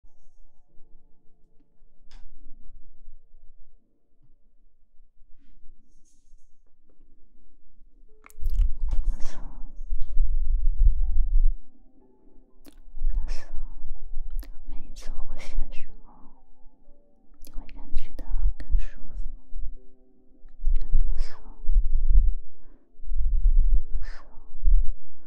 放松，放松。每一次呼吸的时候，你会感觉到更舒服，更放松，放松。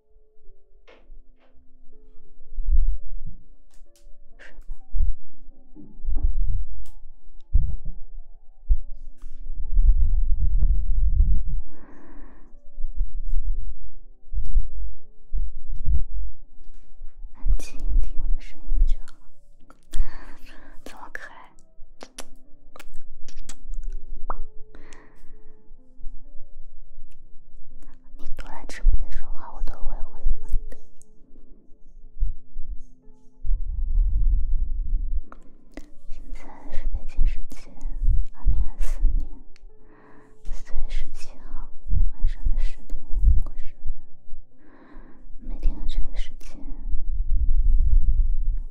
安静，听我的声音就好。怎么可爱？你多来直播间说话，我都会回复你的。现在是北京时间二零二四年四月十七号晚上的十点五十。每天的这个时间，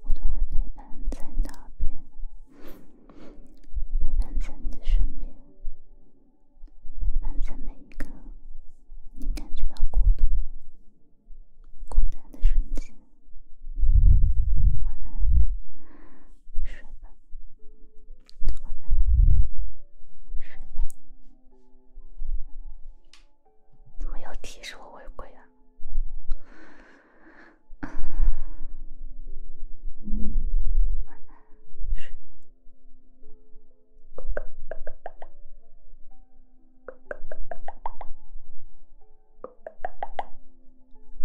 我都会陪伴在你耳边，陪伴在你的身边。陪伴在每一个你感觉到孤独、孤单的瞬间。晚安，睡吧。晚安，睡吧。怎么又提示我违规啊？晚安，睡。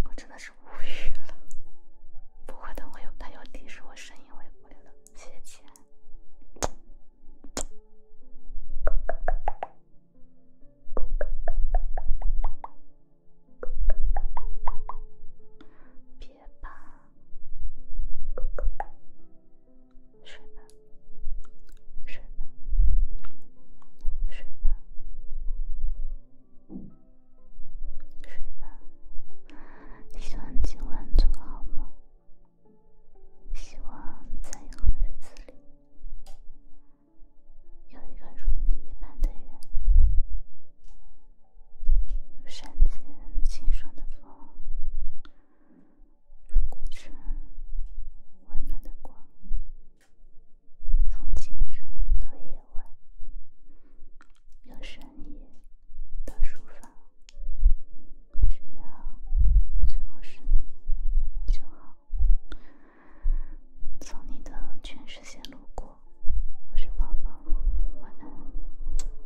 我真的是无语了，不过等我有，他有提示我声音，我也无语了。谢谢，亲爱的。睡吧，睡吧，睡吧，睡吧，睡吧。希望今晚做好梦。希望在以后的日子里，有一个如你一般的人。山间清爽的风，入古城温暖的光，从清晨到夜晚，由深夜到书房，只要最后是你就好。从你的全世界路过，我是宝宝，晚安。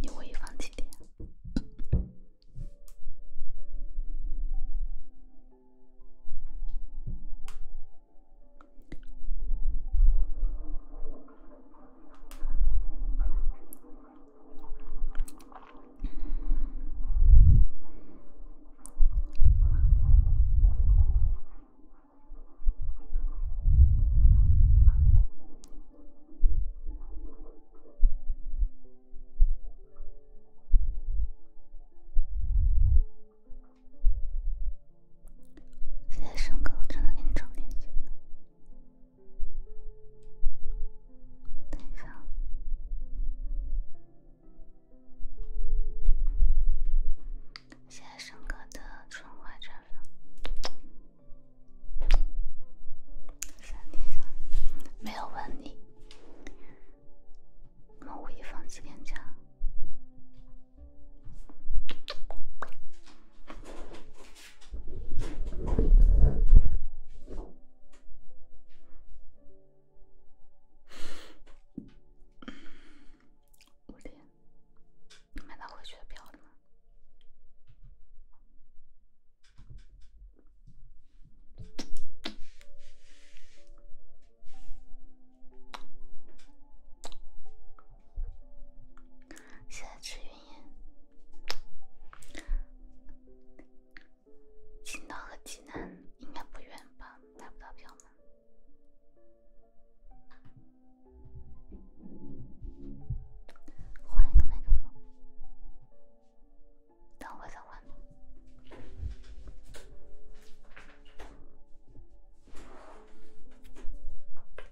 你会议放几点？谢谢生哥，我真的给你涨点钱。等一下，现在升哥的《春花绽放》，三点三，没有问你，我们五一放几天假？五点，你买他回去的票了吗？现在吃云烟。青岛和济南应该不远吧？买不到票吗？换一个麦克风。等会再换。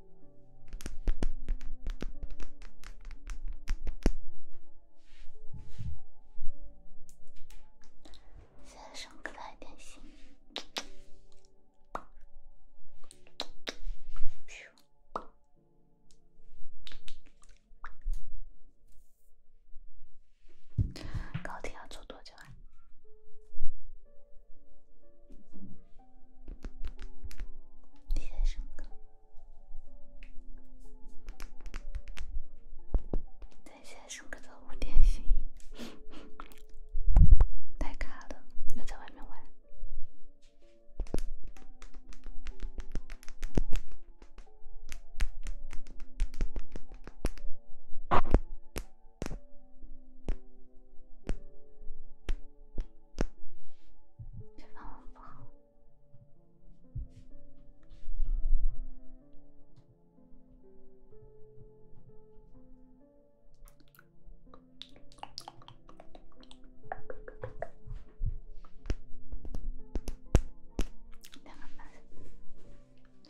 谢谢上课太点心。高铁要坐多久啊？谢谢上课。等一下，上课到五点行？太卡了，又在外面玩。这网络不好。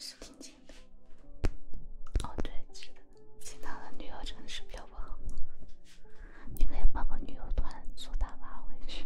是挺近的。哦，对，是的，其他的女儿真的是比较不好。你可以报个旅游团，坐大巴回去。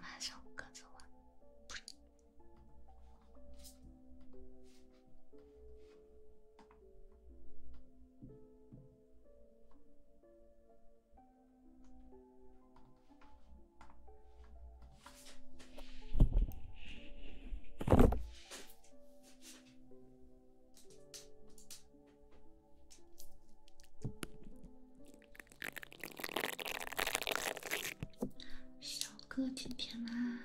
哪首歌奏啊？小哥，甜甜啦。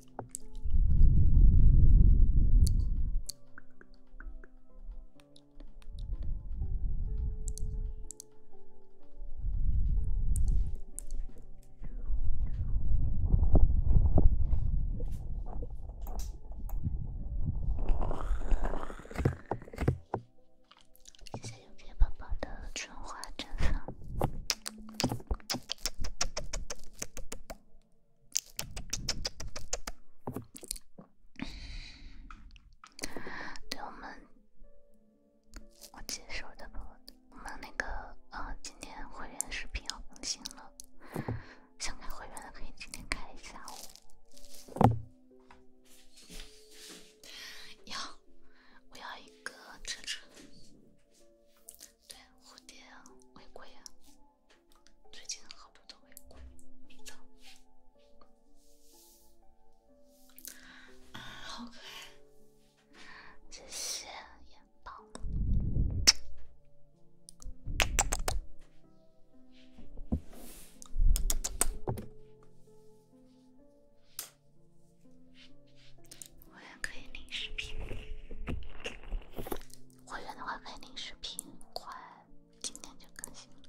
一些有面包包的春花绽放。对我们，我接受的我们那个呃，今天会员视频要更新了，想开会员的可以今天开一下。要，我要一个车车，对，蝴蝶啊，玫瑰啊。最近好多都围攻，好可爱，真是演爆了！我也可以领视频。会员的话可以领视频，快，今天就更新了。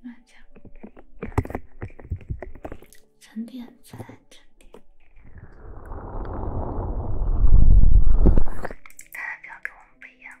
慢降，沉淀再沉淀。代表跟我们不一样。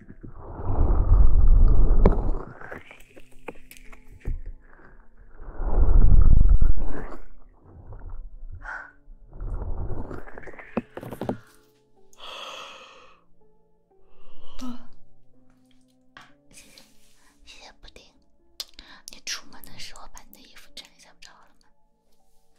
啊！谢谢，谢谢布丁。你出门的时候把你的衣服穿一下，不就好了嘛？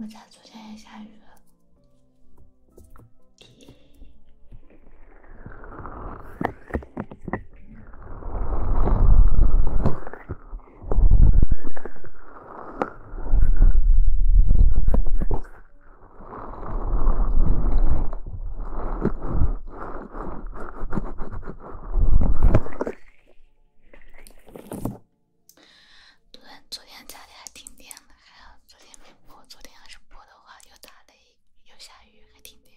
我家昨天也下雨了？对，昨天家里还停电了，还好昨天没播。昨天要是播的话，又打雷又下雨，还停电。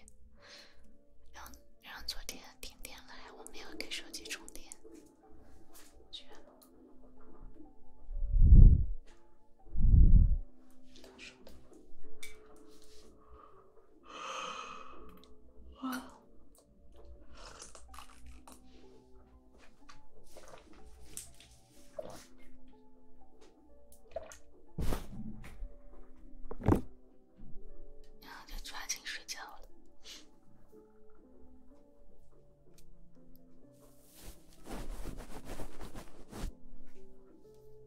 然后，然后昨天停电了，还我没有给手机充电，然后就抓紧睡觉了。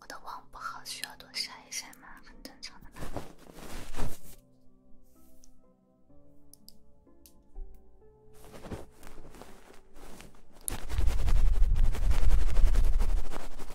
我的网不好，需要多晒一晒吗？很正常的嘛。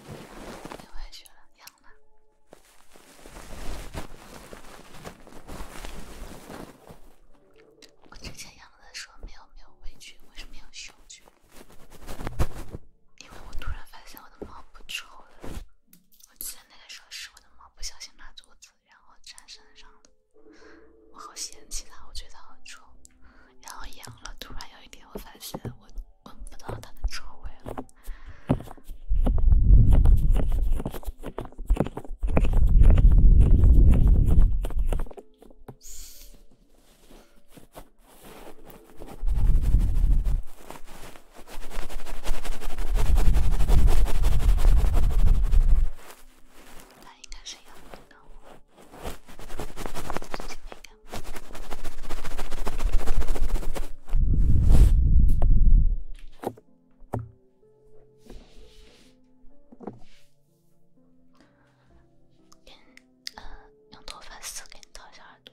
你回去了，养了。我之前养的时候没有没有畏惧，为什么要嗅觉？因为我突然发现我的猫不臭了。我记得那个时候是我的猫不小心拉肚子，然后粘身上了。我好嫌弃它，我觉得好臭。然后养了，突然有一天我发现我。闻不到他的臭味了，应该是养的。用头发丝给套小耳朵。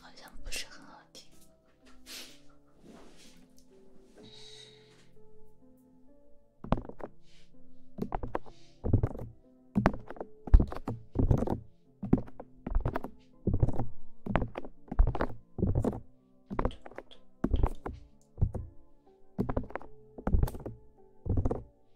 好像不是很好听。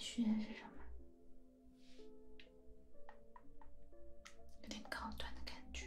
续熏是什么？有点高端的感觉。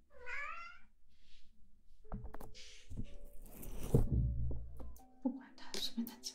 不管他，随便他讲。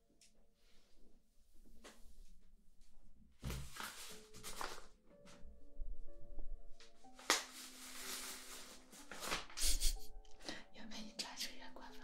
有没有你穿的越过分了？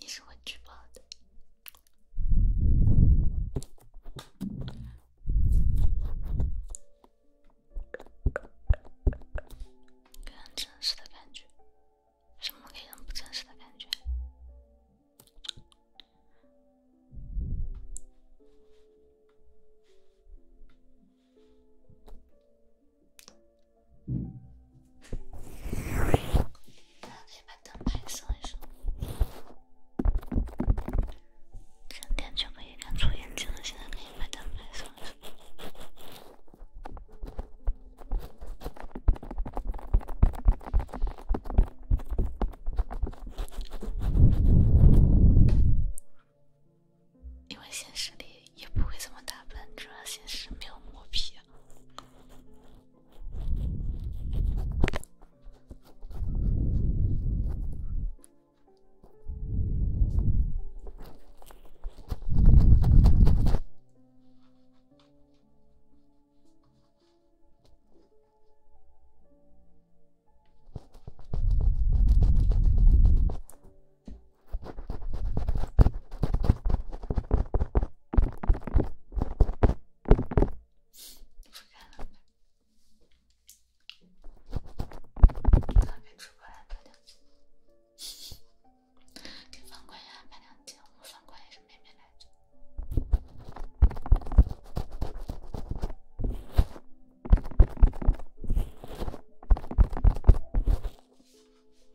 你是我举报的，真实的感觉，什么给人不真实的感觉？一就可以出眼睛了。现在可以把灯牌了，因为现实里。也不会怎么打扮，主要现实没有磨皮。啊。不看了吗？那边直播来两斤，放款呀，来两斤，我放款也是妹妹来。着。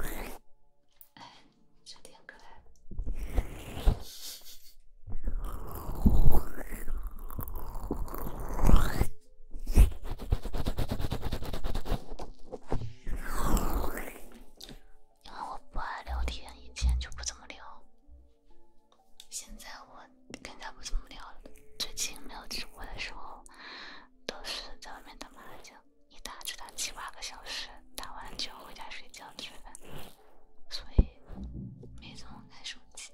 哎，有点可爱。因为我不爱聊天，以前就不怎么聊，现在我。更加不怎么聊了。最近没有直播的时候，都是在外面打麻将，一打就打七八个小时，打完就回家睡觉吃饭，所以没怎么看手机。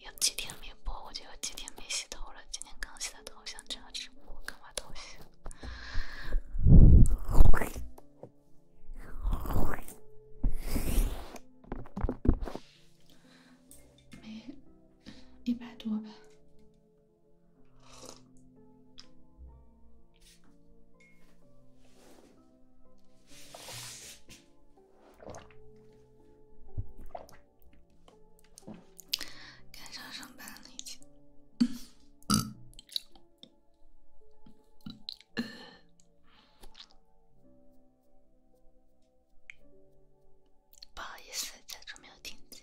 有几天没播，我就有几天没洗头了。今天刚洗的头，想样直播干把东西。没一百多吧，赶上上班了已经。不好意思，假装没有听见。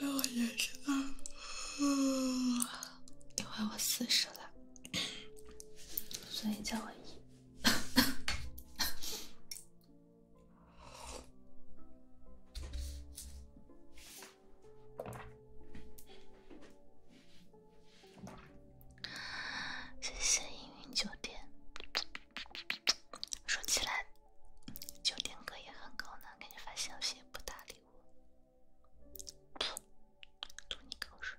因为我也是吧，因为我四十了，所以叫我爷。谢谢迎云酒店。说起来。酒店哥也很高冷，给你发消息不搭理我，吐你口水，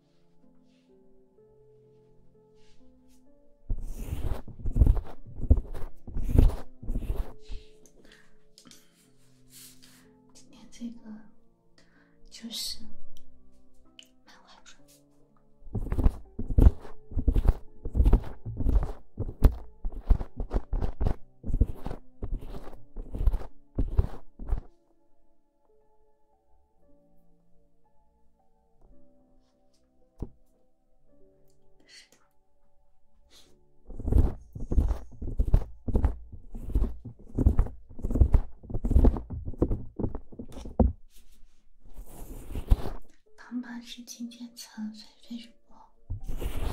今天这个就是是的。旁白是今天岑飞飞主播。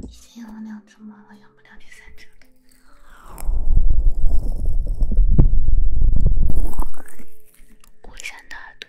已经养了两只猫了，养不了第三只。乌山大耳朵。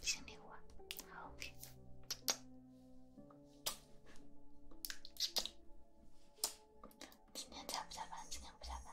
清理我，好今天下不加班？今天不加班。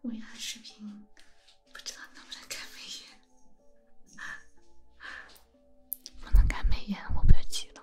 我发视频，不知道能不能开美颜。不能开美颜，我不要急了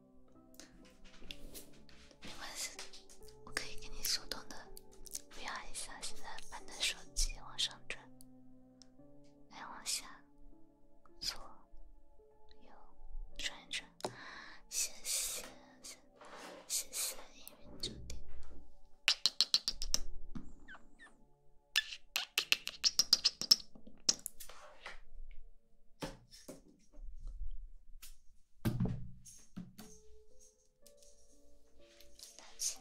没关系，我可以给你手动的不要一下，现在把你的手机往上转，再往下，左右转一转，谢谢，谢谢，英语九点。东西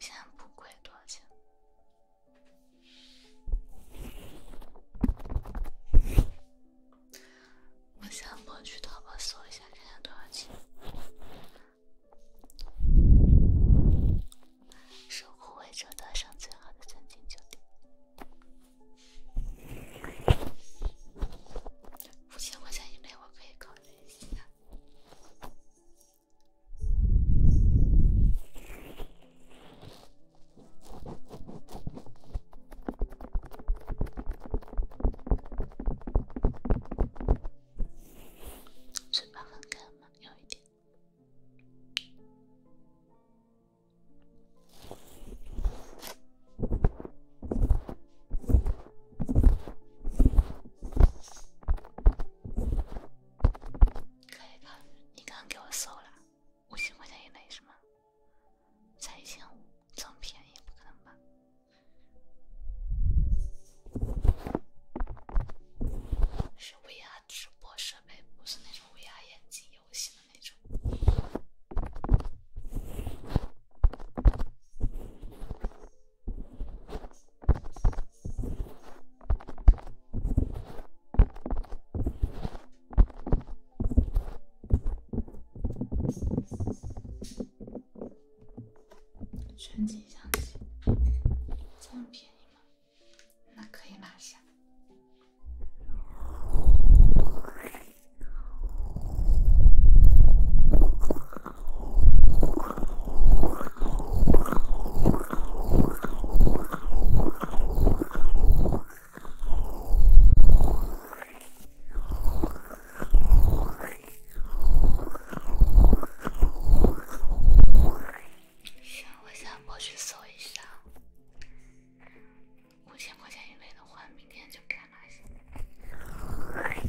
现在不贵，多少钱？我现在我去淘宝搜一下，看看多少钱。守护维珍诞生最好的三星级酒店。五千块钱以内，我可以考虑一下。嘴巴很干吗？有一点。可以看，你刚给我搜了，五千块钱以内是吗？才一千五，这么便宜不可能吧？是 VR 直播设备，不是那种 VR 眼镜游戏。全景相机，这么便宜吗？那可以拿下。我下播去搜一下。五千块钱以内的话，明天就开嘛去？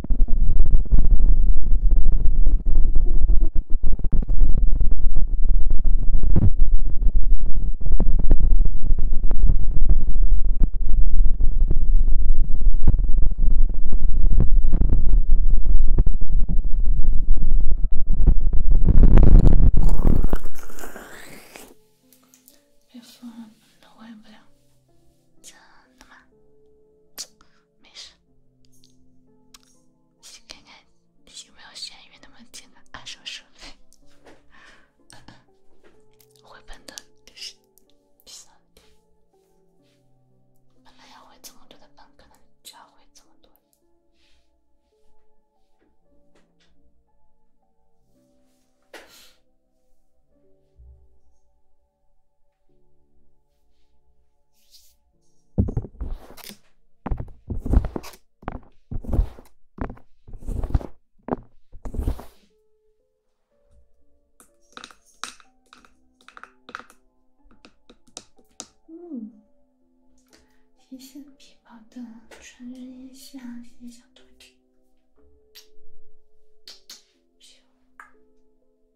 我完全受不了，真的吗？没事，看看有没有闲鱼那么捡个二手设备，回 本的。第三点，本来要回这么多的本，可能就要回这么多。嗯，谢谢皮薄的，穿人一下，谢谢小兔子。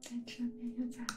在这边又加了？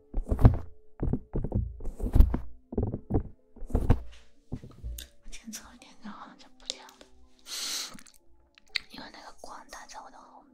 我前测一下，好像不亮了，因为那个光打在我的后面。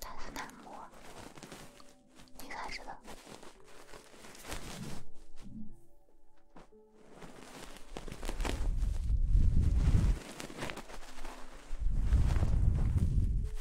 他是男模，你才知道。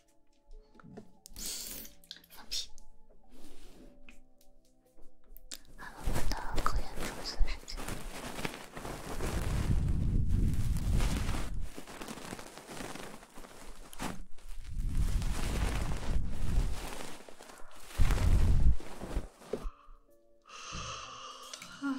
放屁！还有我们的科研冲刺时间。啊！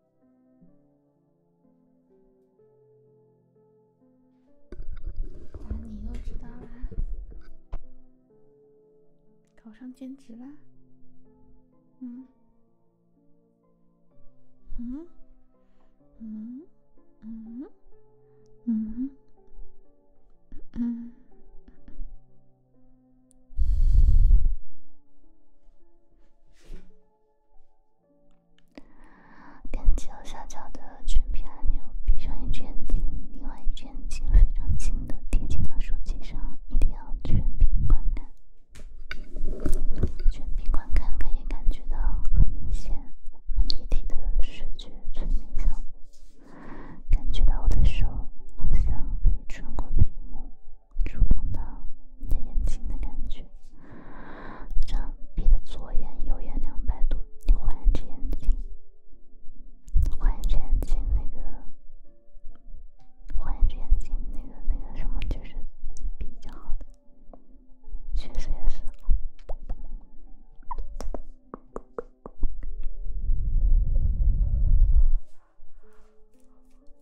你又知道啦？考上兼职啦？嗯，嗯，嗯，嗯，嗯，嗯。点击右下角的全屏按钮，闭上一只眼睛，另外一只眼睛非常近的贴近到手机上，一定要全屏观看。全屏观看可以感觉到很明显、很立体的视觉催眠效果，感觉到我的手好像可以穿过屏幕。触碰到你的眼睛的感觉，这样，闭的左眼右眼两百度，你换一只眼睛，换一只眼睛，那个，换一只眼睛，那个那个什么，就是比较好的，确实也是。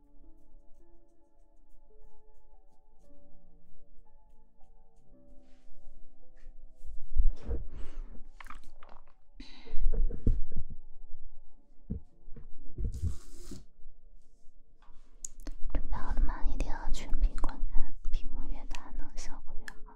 准备好了吗？一定要全屏观看，屏幕越大，呢效果越好。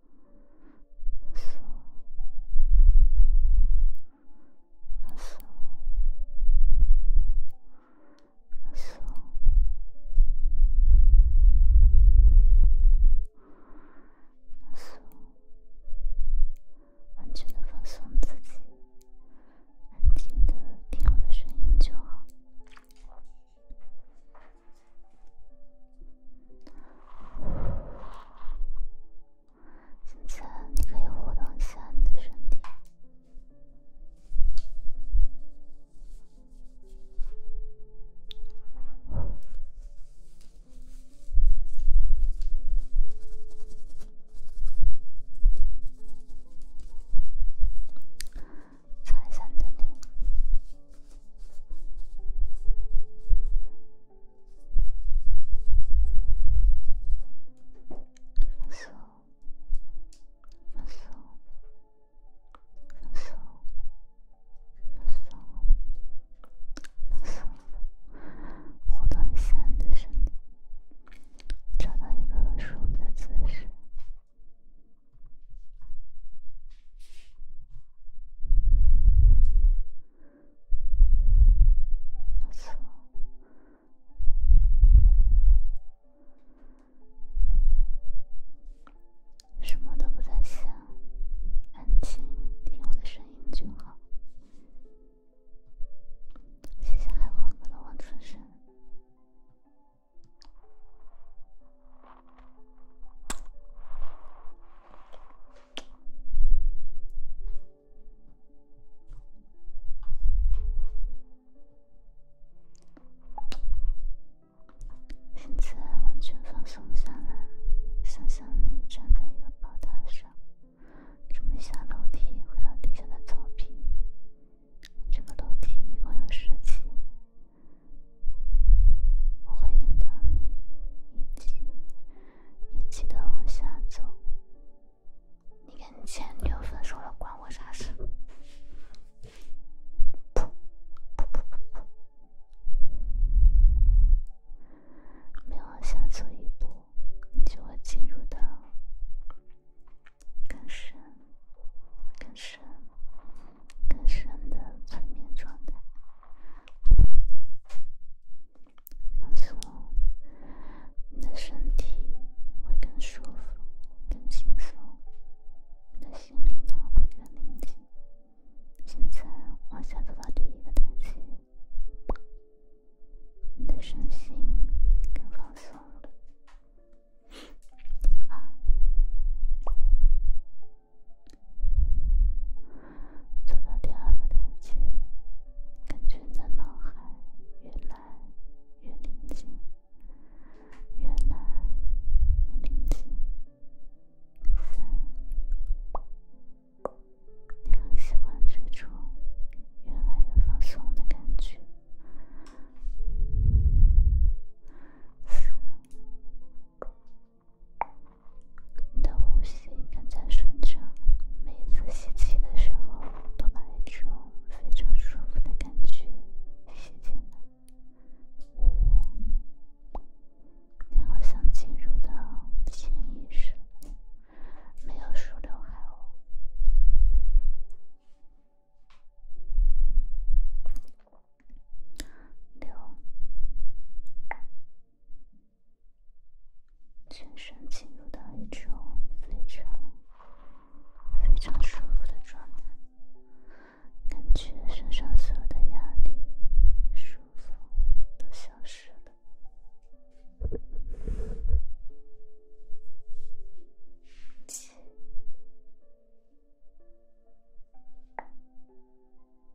放松，放松，放松，放松。完全的放松自己，安静的听我的声音就好。现在你可以活动一下你的身体，放松，放松，放松，放松，放松。活动一下你的身体，找到一个舒服的姿势。什么都不在想，安静，听我的声音就好。谢谢海风哥的王春生。现在完全放松下来，想象你站在一个宝塔上，准备下楼梯回到地下的草坪。这个楼梯一共有十级，我会引导你一级。也记得往下走。你跟前女友分手了，关我啥事？不不往下走一步，你就会进入到更深、更深、更深的催眠状态。放松，你的身体会更舒服、更轻松，你的心灵呢会更宁静。现在往下做第一个抬起，你的身心更放松。做到第二个台阶，感觉在脑海越来越宁静，越来越宁静。三，你很喜欢这种越来越放松的感觉。四。你的呼吸更加顺畅，每一次吸气的时候都有一种非常舒服的感觉。吸进来，五，你好像进入到潜意识，没有梳刘海哦，六。全身进入到一种非常非常舒服的状态，感觉身上所有的压力、束缚都消失了。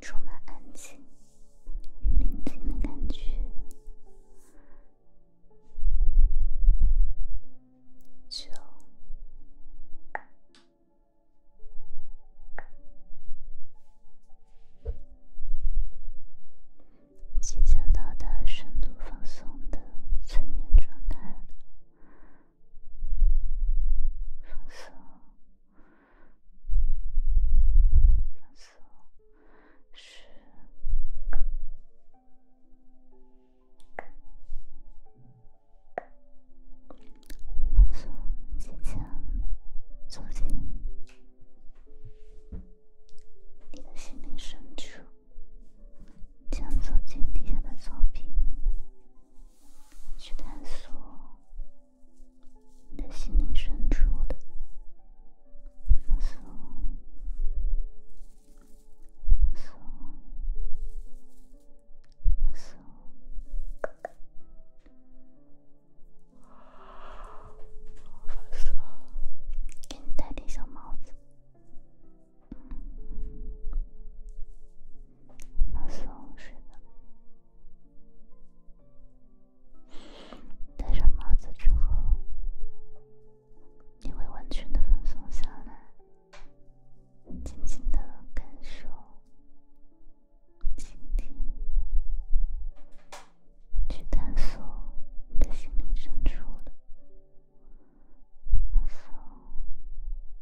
充满安静与宁静的感觉，九，即将到达深度放松的催眠状态。粉色，粉色，是粉色。即将走进你的心灵深处，将走进地下的作品。去探索你的心灵深处的，放松，放松，放松。给你戴顶小帽子。放松，睡吧。戴上帽子之后，你会完全的放松下来，静静的感受，倾听，去探索你的心灵深处的放松。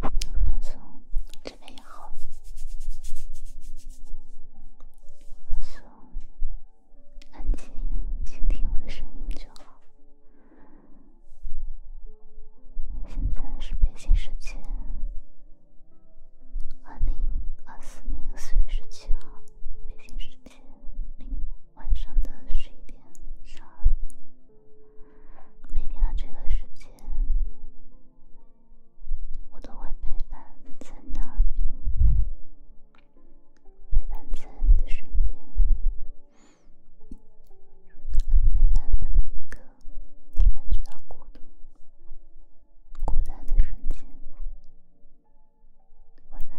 放松，这边也好。放松，安静，倾听我的声音就好。现在是北京时间，二零二四年四月十七号，北京时间零晚上的十一点十二分。每天的这个时间，我都会陪伴在那边，陪伴在你的身边，陪伴在那个你感觉到孤独、孤单的瞬间，我能。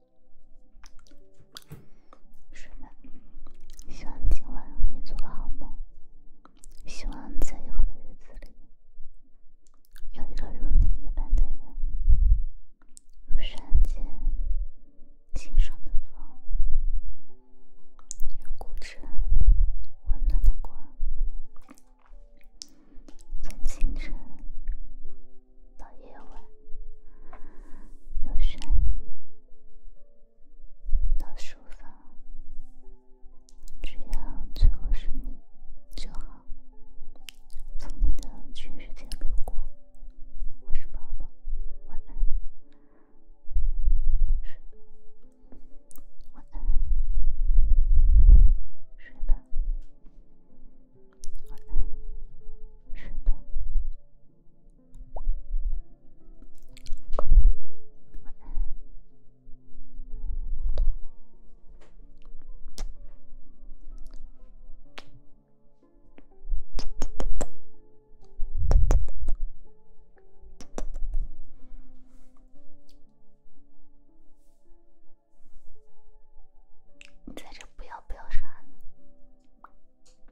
是的，希望今晚可以做个好梦。希望在以后的日子里，有一个如你一般的人，如山间清爽的风，如古城温暖的光，从清晨。到夜晚，有声音。到书房，只要最合适你就好。从你的全世界路过，我是爸爸。晚安，睡。晚安，睡吧。晚安，睡吧。在这不要不要啥呢。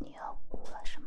你又哭了是吗？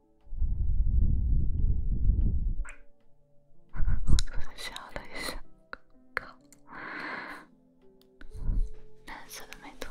我昨天笑了一下，靠！蓝色的眉头。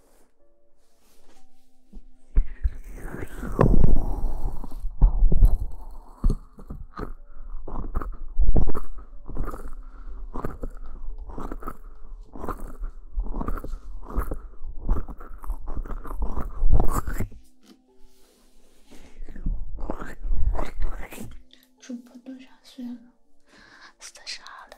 主播多少岁了？三十二了。